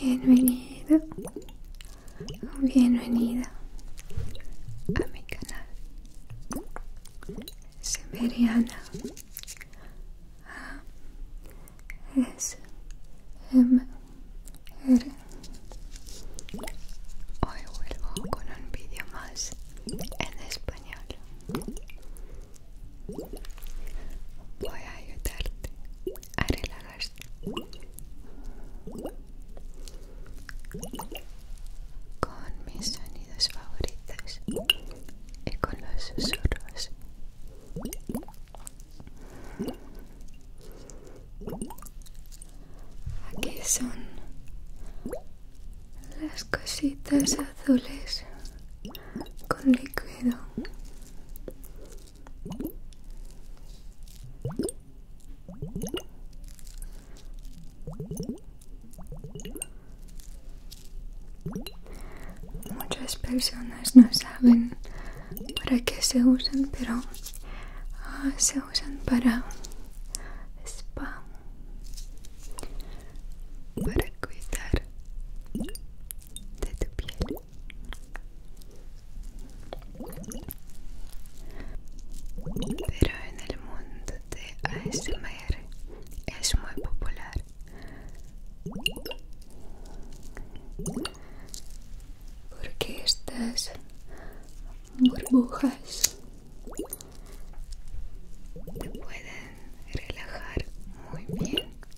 Bienvenido o bienvenida a mi canal Semeriana S M R Hoy vuelvo con un vídeo más en español Voy a ayudarte con mis sonidos favoritos y con los susurros aquí son las cositas azules con líquido Muchas personas no saben para qué se usan, pero ah, se usan para spam, para cuidar de tu piel. Pero en el mundo de ASMR es muy popular. Porque estas burbujas te pueden relajar muy bien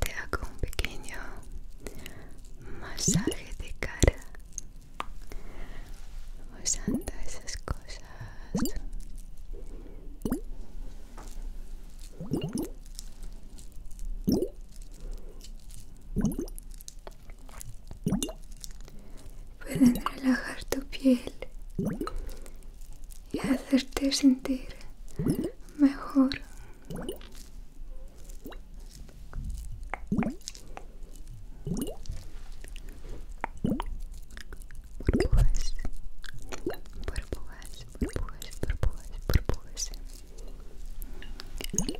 Te hago un pequeño masaje de cara usando esas cosas. Pueden relajar tu piel y hacerte sentir mejor. Burbujas, burbujas, burbujas, burbujas, burbujas, burbujas,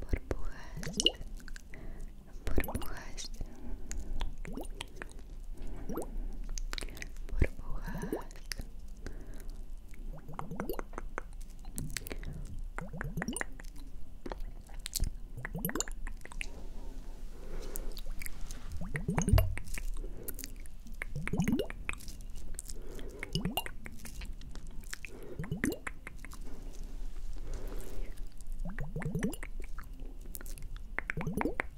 burbujas, burbujas, burbujas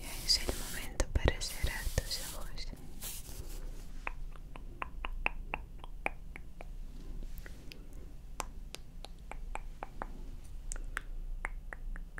Ya es el momento para cerrar tus ojos.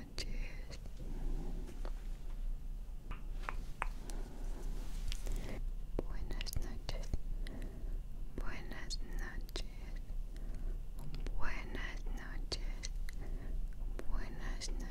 touches. Buenas noches. Buenas noches. Buenas noches. Buenas noches.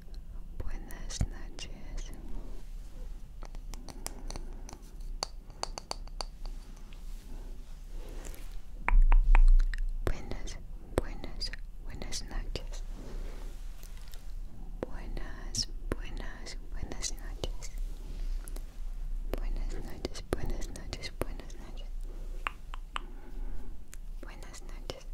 Buenas noches. Buenas, buenas, buenas noches. Buenas, buenas, buenas noches. Buenas noches, buenas noches, buenas noches. Buenas noches.